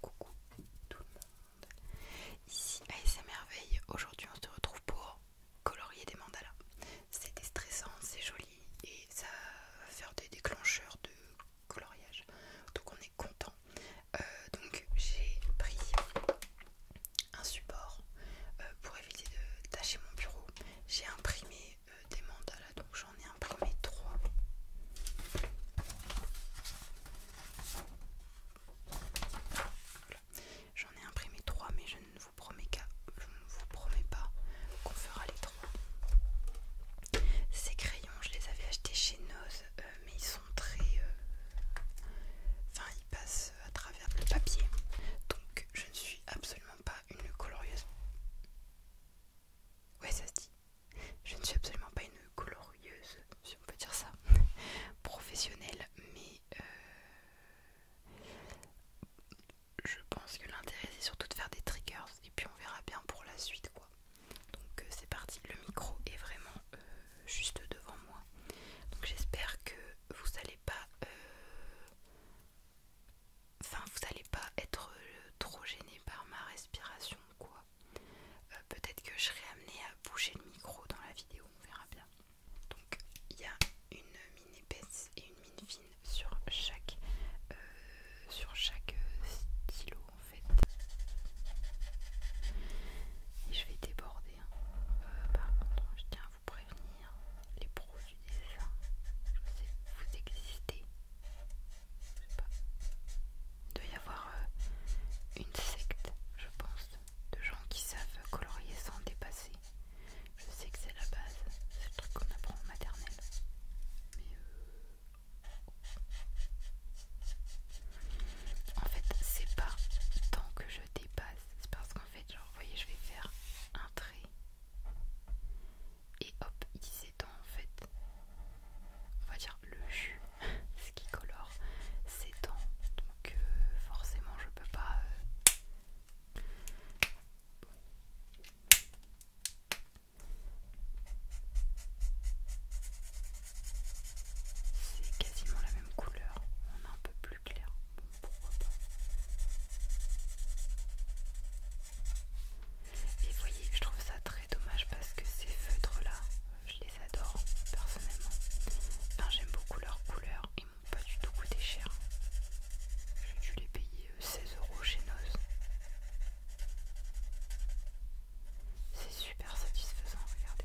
Coucou tout le monde, ici Merveille aujourd'hui on se retrouve pour colorier des mandalas. C'est déstressant, c'est joli et ça va faire des déclencheurs de coloriage, donc on est content. Euh, donc j'ai pris un support euh, pour éviter de Tacher mon bureau, j'ai imprimé euh, des mandalas, donc j'en imprimé trois. J'en ai imprimé trois, mais je ne vous promets, ne vous promets pas qu'on fera les trois. Ces crayons, je les avais achetés chez Noz, euh, mais ils sont très. Euh, enfin, ils passent à travers le papier. Donc, je ne suis absolument pas une colorieuse Ouais, ça se dit. Je ne suis absolument pas une colorieuse, si on peut dire ça, professionnelle, mais euh, je pense que l'intérêt c'est surtout de faire des triggers et puis on verra bien pour la suite quoi. Donc euh, c'est parti, le micro est vraiment euh, juste devant moi. Donc j'espère que vous n'allez pas... Enfin, vous pas être trop gêné par ma respiration, quoi. Euh, peut-être que je serai amenée à bouger le micro dans la vidéo, on verra bien. Donc il y a une mine épaisse et une mine fine sur chaque, euh, sur chaque euh, stylo en fait. Et je vais déborder. Hein. par contre, je tiens à vous prévenir, les pros du dessin, je sais, vous existez. Il doit y avoir euh, une secte, je pense, de gens qui savent colorier sans dépasser. Je sais que c'est la base, c'est le truc qu'on apprend en maternelle. Mais euh, En fait, c'est pas tant que je dépasse, c'est parce qu'en fait, genre, vous voyez, je vais faire un trait et hop il s'étend en fait on va dire le jus ce qui colore s'étend donc euh, forcément je peux pas euh, C'est quasiment la même couleur, on est un peu plus clair. pourquoi pas. Et vous voyez, je trouve ça très dommage parce que ces feutres-là, je les adore personnellement. j'aime beaucoup leurs couleurs, ils m'ont pas du tout coûté cher. J'ai dû les payer 16 euh, euros chez Noz. C'est super satisfaisant, regardez.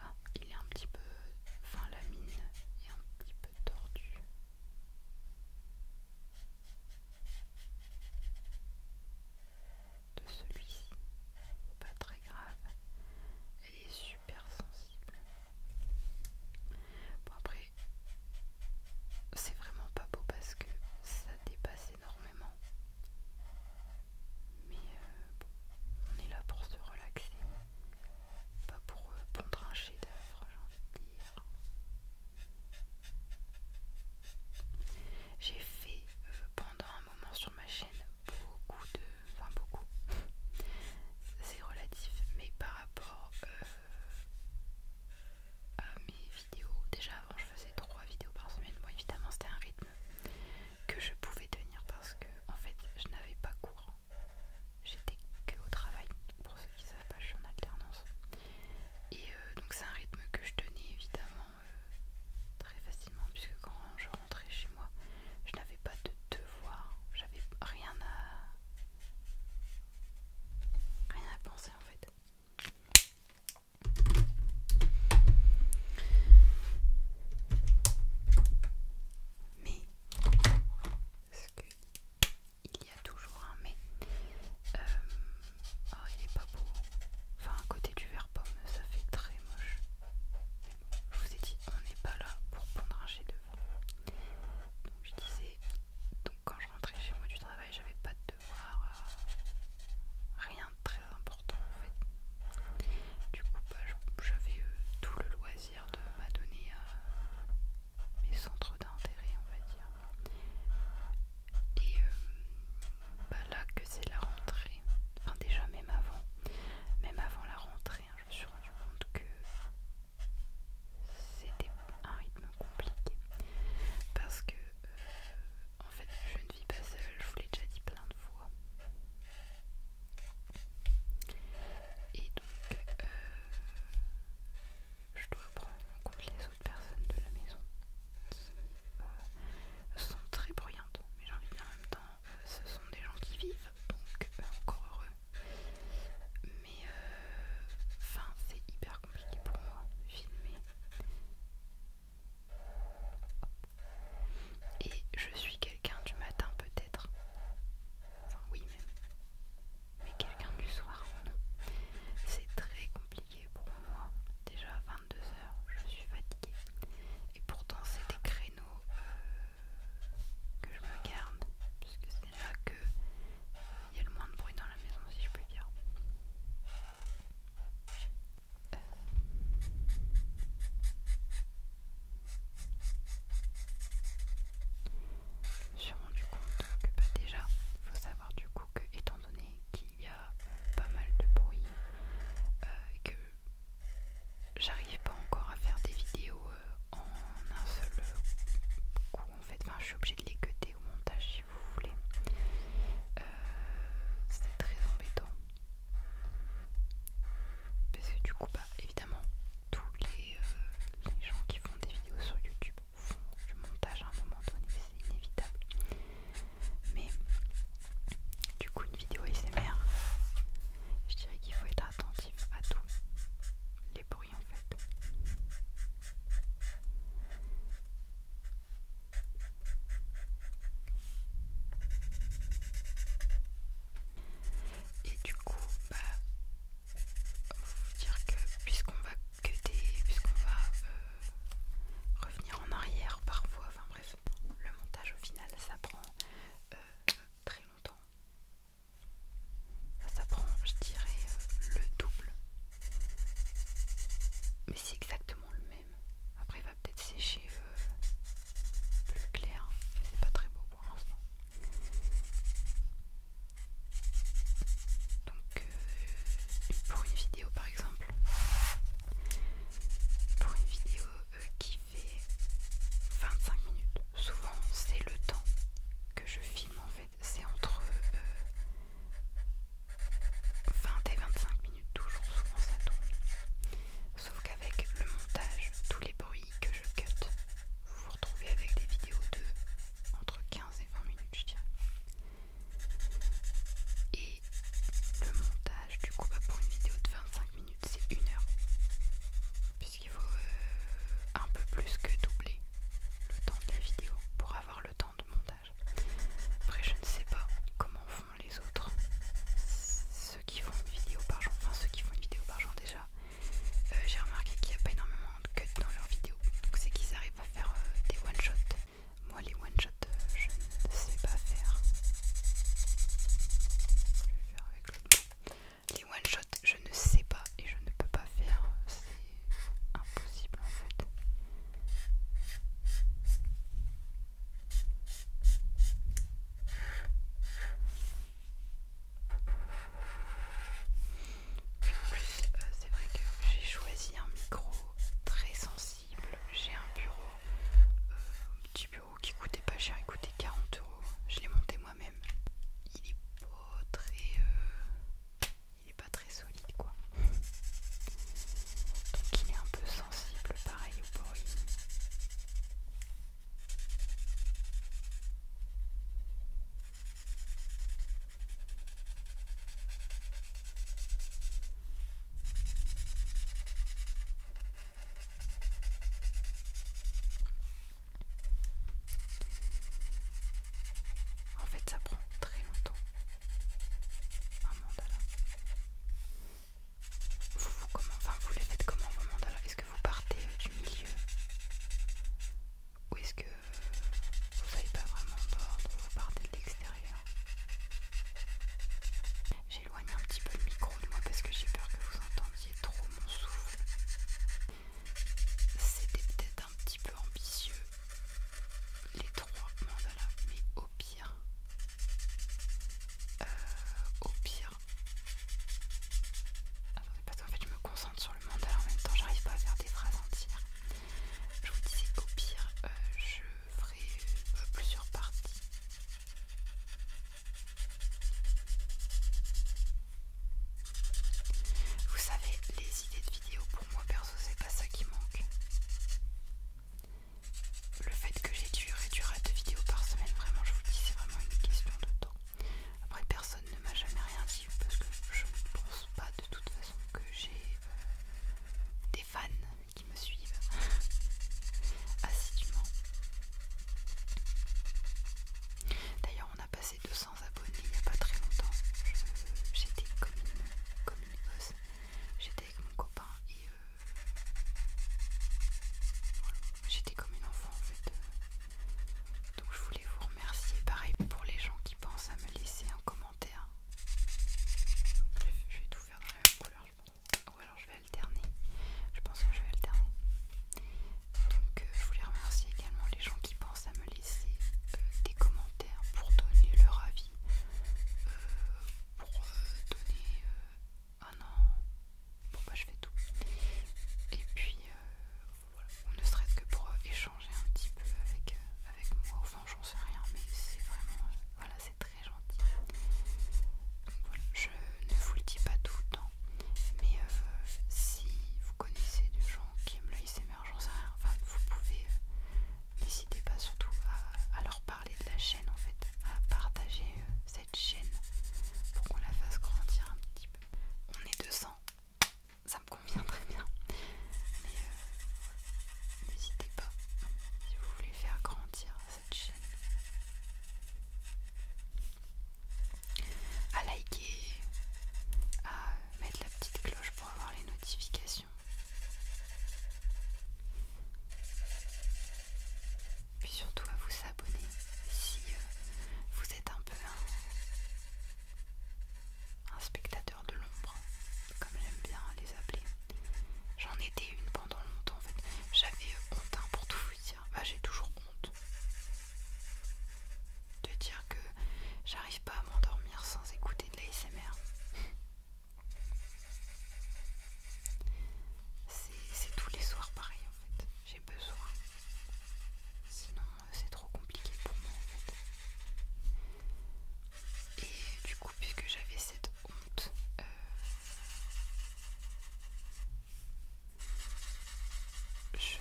Ah, il est un petit peu. Enfin, la mine est un petit peu tordu De celui-ci. Pas très grave. Elle est super sensible. Bon, après, c'est vraiment pas beau parce que ça dépasse énormément. Mais euh, on est là pour se relaxer, pas pour euh, pondre un chef-d'œuvre, j'ai J'ai fait euh, pendant un moment sur ma chaîne beaucoup de. Enfin, beaucoup. C'est relatif, mais par rapport à mes vidéos. Déjà, avant, je faisais trois vidéos par semaine. Moi évidemment, c'était un rythme que je pouvais tenir parce que en fait je n'avais pas cours. J'étais que au travail, pour ceux qui ne savent pas, je suis en alternance. Et euh, donc c'est un rythme que je tenais évidemment euh, très facilement puisque quand je rentrais chez moi, je n'avais pas de devoir, j'avais rien à rien à penser en fait. Mais parce qu'il il y a toujours un mais. Euh, oh, il n'est pas beau. Enfin, à côté du verre pomme, ça fait très moche. Je vous ai dit, on n'est pas là pour pondre un chef deux Donc je disais, donc quand je rentrais chez moi du travail, j'avais pas de devoir, euh, rien de très important du coup bah, j'avais euh, tout le loisir de m'adonner à mes centres d'intérêt on va dire. Et euh, bah, là que c'est la rentrée, enfin déjà même avant, même avant la rentrée, hein, je me suis rendu compte que c'était un rythme compliqué parce que euh, en fait, je ne vis pas seule, je vous l'ai déjà dit plein de fois. Et donc, euh, je dois prendre en compte les autres personnes de la maison qui euh, sont très bruyantes, mais j'ai envie en même temps, euh, ce sont des gens qui vivent, donc encore heureux. Mais, enfin, c'est hyper compliqué pour moi de filmer et je suis quelqu'un du matin peut-être. Enfin oui même. Mais quelqu'un du soir, C'est très compliqué pour moi. Déjà à 22h, je suis fatiguée. Et pourtant c'est des créneaux euh, que je me garde. puisque c'est là que euh, il y a le moins de bruit dans la maison si je peux dire. Je euh, me suis rendu compte que bah, déjà, il faut savoir du coup que étant donné qu'il y a pas mal de bruit euh, que j'arrivais pas encore à faire des vidéos euh, en un seul coup en fait, enfin je suis obligée de les cuter au montage si vous voulez. C'était C'est très embêtant. Parce que du coup, bah, évidemment, tous euh, les, gens qui font des vidéos sur YouTube font du montage à un moment donné, c'est inévitable. Mais du coup, une vidéo ASMR, je dirais qu'il faut être attentif à tous les bruits en fait. Et du coup, bah, dire que puisqu'on va cutter, puisqu'on va euh, revenir en arrière parfois, enfin bref, le montage au final ça prend euh, très longtemps. Ça prend, je dirais, euh, le double. Mais c'est exactement le même. Après, il va peut-être sécher plus clair, mais c'est pas très beau pour l'instant. Donc, euh, pour une vidéo par exemple, pour une vidéo euh, qui fait 25 minutes, souvent c'est le temps que je filme en fait, c'est entre. Euh, 20 et 25 minutes, toujours souvent ça tourne. Sauf qu'avec le montage, tous les bruits que je cut, vous vous retrouvez avec des vidéos de entre 15 et 20 minutes, je dirais. Et le montage, du coup, bah, pour une vidéo de 25 minutes, c'est une heure. Puisqu'il faut euh, un peu plus que doubler le temps de la vidéo pour avoir le temps de montage. Après, je ne sais pas comment font les autres, ceux qui font une vidéo par jour, enfin ceux qui font une vidéo par jour déjà. Euh, j'ai remarqué qu'il n'y a pas énormément de cuts dans leurs vidéos, donc c'est qu'ils arrivent à faire euh, des one-shots. Moi, les one-shots, euh, je ne sais pas faire. Les one-shots, je ne sais pas et je ne peux pas faire, c'est impossible en fait. Euh, c'est vrai que j'ai choisi un micro très sensible. J'ai un bureau, un euh, petit bureau qui coûtait pas cher, il coûtait 40 euros. Je l'ai monté moi-même. Il est pas très. Euh, il est pas très solide quoi. Donc il est un peu sensible pareil au En fait, ça prend très longtemps un mandala. Vous, comment, vous les faites comment vos mandalas Est-ce que vous partez euh, du milieu Ou est-ce que vous n'avez pas vraiment d'ordre Vous partez de l'extérieur J'éloigne un petit peu le micro de moi parce que j'ai peur que vous entendiez trop mon souffle. C'était peut-être un petit peu ambitieux les trois mandalas, mais au pire, euh, au pire, attendez parce qu'en fait je me concentre sur le mandala en même temps, j'arrive pas à faire des phrases entières. Je vous disais au pire, euh, je ferai euh, plusieurs parties. Vous savez, les idées de vidéos moi perso c'est pas ça qui manque. Le fait que j'ai duré du à deux vidéos par semaine, vraiment je vous dis, c'est vraiment une question de temps. Après personne ne m'a jamais rien dit parce que je ne pense pas de toute façon que j'ai euh, des fans qui me suivent assidûment. D'ailleurs on a passé 200 abonnés il n'y a pas très longtemps. J'étais comme une, comme une gosse. J'étais avec mon copain et euh, j'étais comme une enfant en fait. Donc je voulais vous remercier. Pareil pour les gens qui pensent à me laisser un commentaire. Je vais tout faire dans la même couleur, Ou alors je vais alterner. Je pense que je vais alterner. Donc euh, je voulais remercier également les gens qui pensent à me laisser euh, des commentaires pour donner leur avis, euh, pour euh, donner... un ah non, bon bah je fais tout. Et puis voilà, on ne serait que pour échanger un petit peu avec, avec moi, enfin j'en sais rien, mais c'est vraiment... voilà, c'est très gentil. je ne vous le dis pas tout le temps, mais si vous connaissez des gens qui aiment l'ASMR, vous pouvez, euh, n'hésitez pas surtout à, leur parler de la chaîne en fait, à partager euh, cette chaîne pour qu'on la fasse grandir un petit peu. On est 200, ça me convient très bien, mais euh, n'hésitez pas si vous voulez faire grandir cette chaîne à liker, à mettre la petite cloche pour avoir les notifications. Puis surtout à vous abonner si euh, vous êtes un peu un, spectateur de l'ombre, comme j'aime bien les appeler. J'en étais une pendant longtemps en fait. J'avais honte hein, pour tout vous dire. Bah j'ai toujours honte de dire que j'arrive pas à m'endormir sans écouter de l'ASMR. C'est tous les soirs pareil en fait, j'ai besoin. Sinon euh, c'est trop compliqué pour moi en fait. Et du coup puisque j'avais cette honte... Euh, je,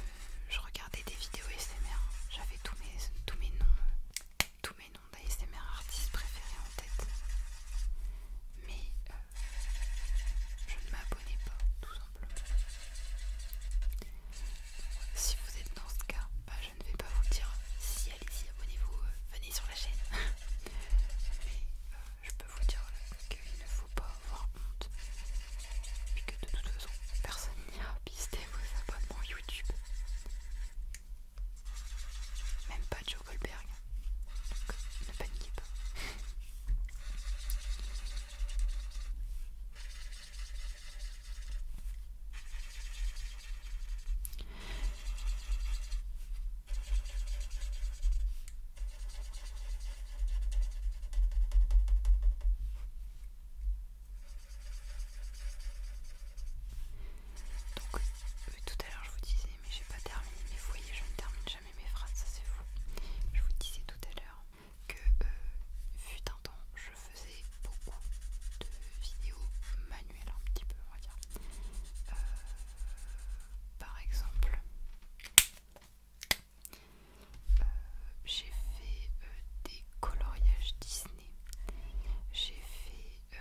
je regardé des vidéos ASMR. J'avais tous mes, tous mes noms, tous mes noms d'ASMR artistes préférés en tête. Mais euh, je ne m'abonnais pas, tout simplement. Si vous êtes dans ce cas, bah, je ne vais pas vous dire si allez-y, abonnez-vous, euh, venez sur la chaîne. Mais euh, je peux vous dire qu'il ne faut pas avoir honte puis que de toute façon personne n'ira visiter vos abonnements YouTube. Même pas Joe Goldberg. Donc ne paniquez pas. Donc, euh, tout à l'heure je vous disais, mais j'ai pas terminé, mais vous voyez, je ne termine jamais mes phrases, ça c'est fou. Je vous disais tout à l'heure que, vu euh, fut temps, je faisais beaucoup de vidéos manuelles, un petit peu, on va dire. Euh, par exemple, euh, j'ai fait euh, des coloriages Disney. J'ai fait... Euh,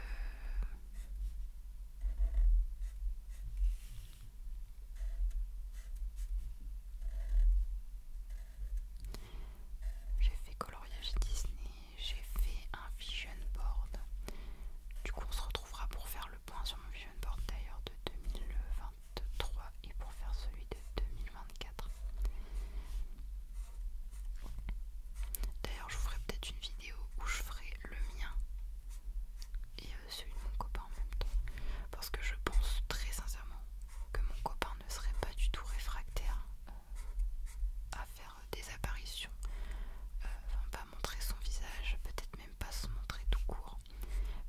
j'ai fait coloriage Disney, j'ai fait un vision board. Du coup, on se retrouvera pour faire le point sur mon vision board d'ailleurs de 2020. 3 et pour faire celui de 2024. D'ailleurs, je vous ferai peut-être une vidéo où je ferai le mien et euh, celui de mon copain en même temps. Parce que je pense très sincèrement que mon copain ne serait pas du tout réfractaire euh, à faire euh, des apparitions. enfin, pas montrer son visage, peut-être même pas se montrer tout court.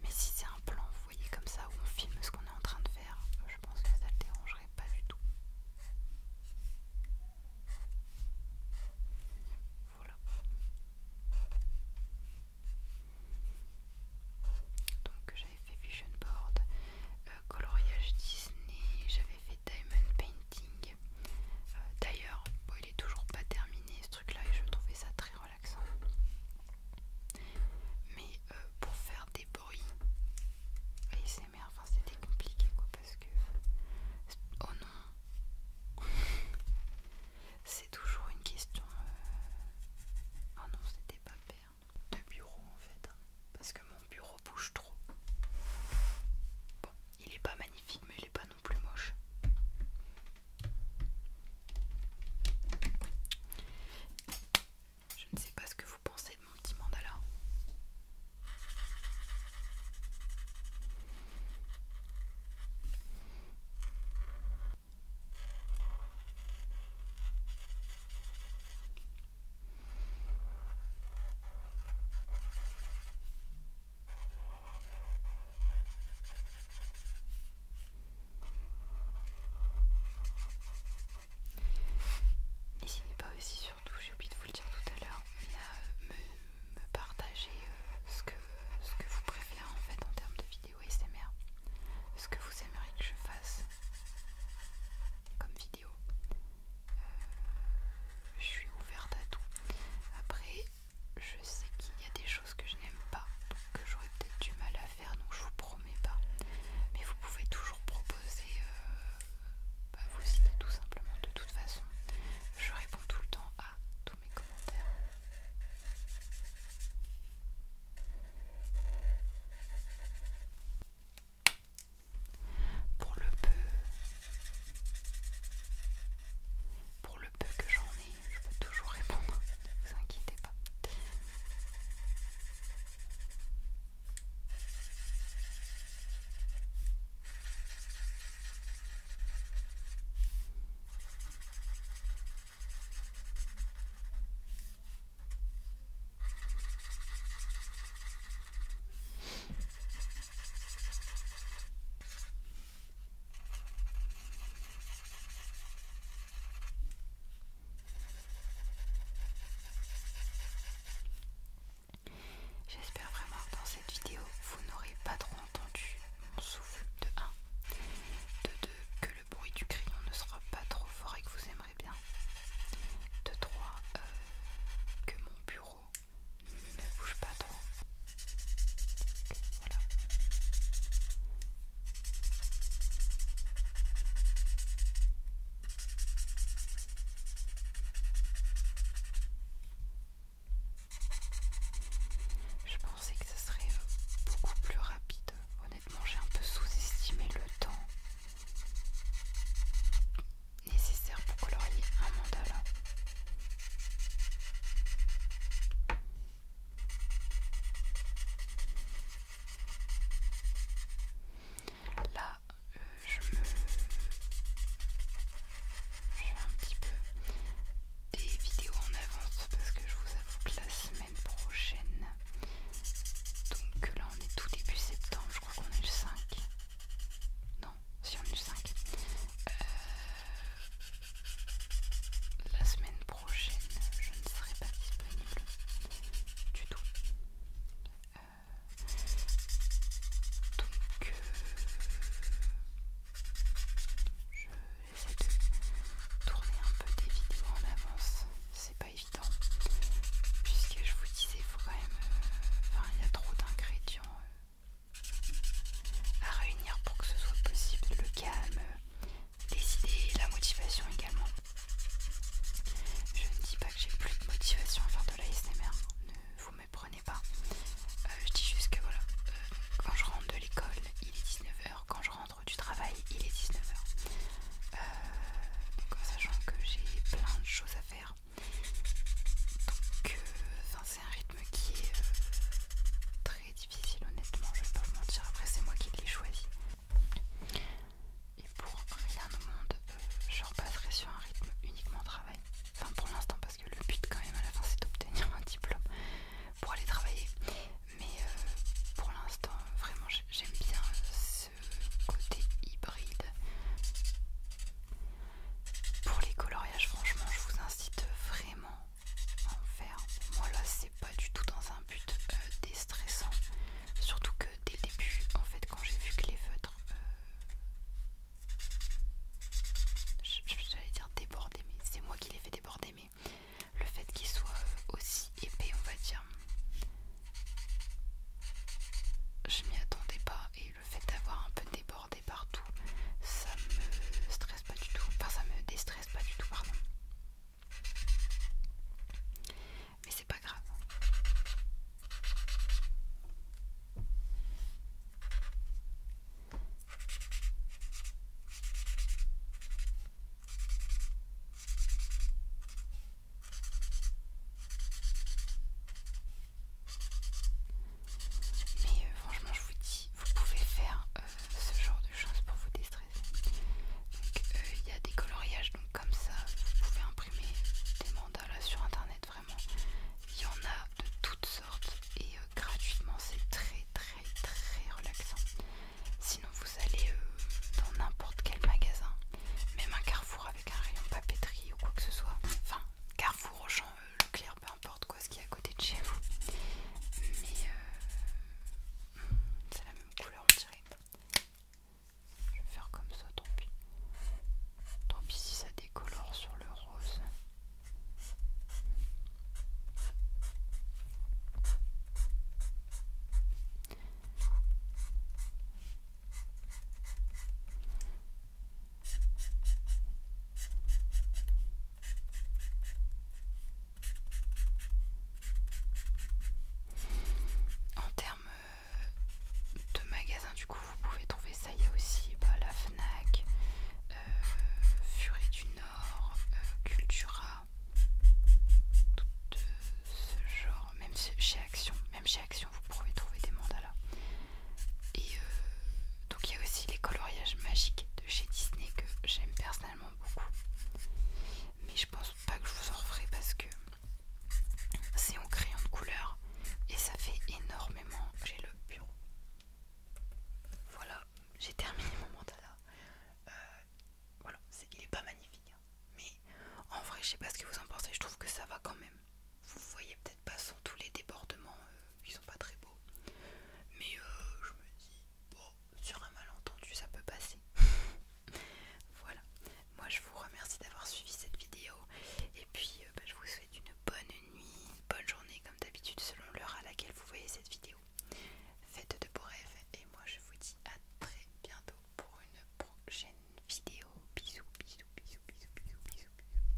Mais si c'est un plan voyez comme ça où on filme ce qu'on est en train de faire, je pense que ça ne dérangerait pas du tout. Voilà. Donc j'avais fait vision board, euh, coloriage Disney, j'avais fait diamond painting. Euh, d'ailleurs, il est toujours pas terminé ce truc là et je trouvais ça très relaxant. Mais euh, pour faire des bruits ASMR, enfin c'était compliqué quoi parce que oh non c'est toujours une question euh, oh non c'était pas père de bureau en fait hein, parce que mon bureau bouge trop bon il est pas magnifique mais il est pas non plus moche je ne sais pas ce que vous pensez de mon petit mandala n'est pas aussi, surtout, j'ai oublié de vous le dire tout à l'heure, euh, me, partager euh, ce, que, ce vous préférez en fait en termes de vidéo ASMR, ce que vous aimeriez que je fasse comme vidéo. Euh, je suis ouverte à tout. Après, je sais qu'il y a des que je n'aime pas, que j'aurais peut-être du mal à faire, donc je vous promets pas. Mais vous pouvez toujours proposer euh, bah, vous bah, tout simplement. De toute façon, je réponds tout le temps à tous mes commentaires. Pour le peu, pour le Peut que j'en ai, je peux toujours répondre, ne vous inquiétez pas. J'espère vraiment que dans cette vidéo, vous n'aurez pas trop entendu mon souffle de 1, de 2, que le bruit du crayon ne sera pas trop fort et que vous aimerez bien, de 3, euh, que mon bureau ne bouge pas trop. Voilà. Je pensais que ce serait euh, beaucoup plus rapide. Honnêtement, j'ai un peu sous-estimé le temps nécessaire pour colorier un mandala. Là, euh, je me. fais un petit peu des vidéos en avance parce que je vous avoue que la semaine prochaine. Donc là, on est tout début septembre, je crois qu'on est le 5. Non, si on est le 5. Euh, la semaine prochaine, je ne serai pas disponible du tout. Euh, donc, euh, vais essayer de tourner un peu des vidéos en avance. C'est pas évident, puisque je vous disais, il faut quand même. Euh, enfin, il y a trop d'ingrédients à réunir pour que ce soit possible, le calme, les idées la motivation également. Je ne dis pas que j'ai plus de motivation à faire de la SMR, ne vous méprenez pas. Euh, je dis juste que voilà, euh, quand je rentre de l'école, il est 19h, quand je rentre du travail, il est 19h. Euh, en sachant que j'ai plein de choses à faire. Donc c'est un rythme qui est Très très honnêtement, je vais pas vous mentir, après c'est moi qui l'ai choisi. Et pour rien au monde, euh, je repasserai sur un rythme uniquement travail. Enfin pour l'instant parce que le but quand même à la fin c'est d'obtenir un diplôme pour aller travailler. Mais euh, pour l'instant vraiment j'aime bien ce côté hybride. Pour les coloriages franchement je vous incite vraiment en faire. moi là c'est pas du tout dans un but euh, déstressant. Surtout que dès le début, en fait, quand j'ai vu que les feutres euh, j'allais dire déborder mais c'est moi qui les fais déborder mais le fait qu'ils soient euh, aussi épais on va dire je m'y attendais pas et le fait d'avoir un peu débordé partout, ça me stresse pas du tout. Enfin, ça me déstresse pas du tout, pardon. Mais c'est pas grave. Mais euh, franchement, je vous dis, vous pouvez faire euh, ce genre de choses pour vous déstresser. Euh, il y a des coloriages donc comme ça, vous pouvez imprimer des là sur internet vraiment. Il y en a de toutes sortes et gratuitement, c'est très très très relaxant. Sinon, vous allez dans n'importe quel magasin, même un carrefour avec un rayon papeterie ou quoi que ce soit. Enfin, carrefour au champ, le clair peu importe quoi ce qui est à côté de chez vous. Mais euh, c'est la même couleur, je dirais Je vais faire comme ça, tant pis. Tant pis si ça décolore sur le rose. En termes euh, de magasins, du coup, vous pouvez trouver ça. Il y a aussi bah, la Fnac, euh, du Nord, euh, Cultura, tout euh, ce genre. Même chez Action, même chez Action, vous pouvez trouver des mandalas. Et euh, donc il y a aussi les coloriages magiques de chez Disney que j'aime personnellement beaucoup. Mais je pense pas que je vous en ferai parce que c'est en crayon de couleur et ça fait énormément. J'ai le bureau. Voilà, j'ai terminé mon mandala. Euh, voilà, il est pas magnifique. Hein. Mais en vrai, je sais pas ce que vous en pensez, je trouve que ça va quand même vous voyez peut-être pas sans tous les débordements Ils euh, qui sont pas très beaux mais euh, je me dis bon sur un malentendu ça peut passer voilà moi je vous remercie d'avoir suivi cette vidéo et puis euh, bah, je vous souhaite une bonne nuit bonne journée comme d'habitude selon l'heure à laquelle vous voyez cette vidéo faites de beaux rêves et moi je vous dis à très bientôt pour une prochaine vidéo bisous bisous bisous bisous bisous, bisous.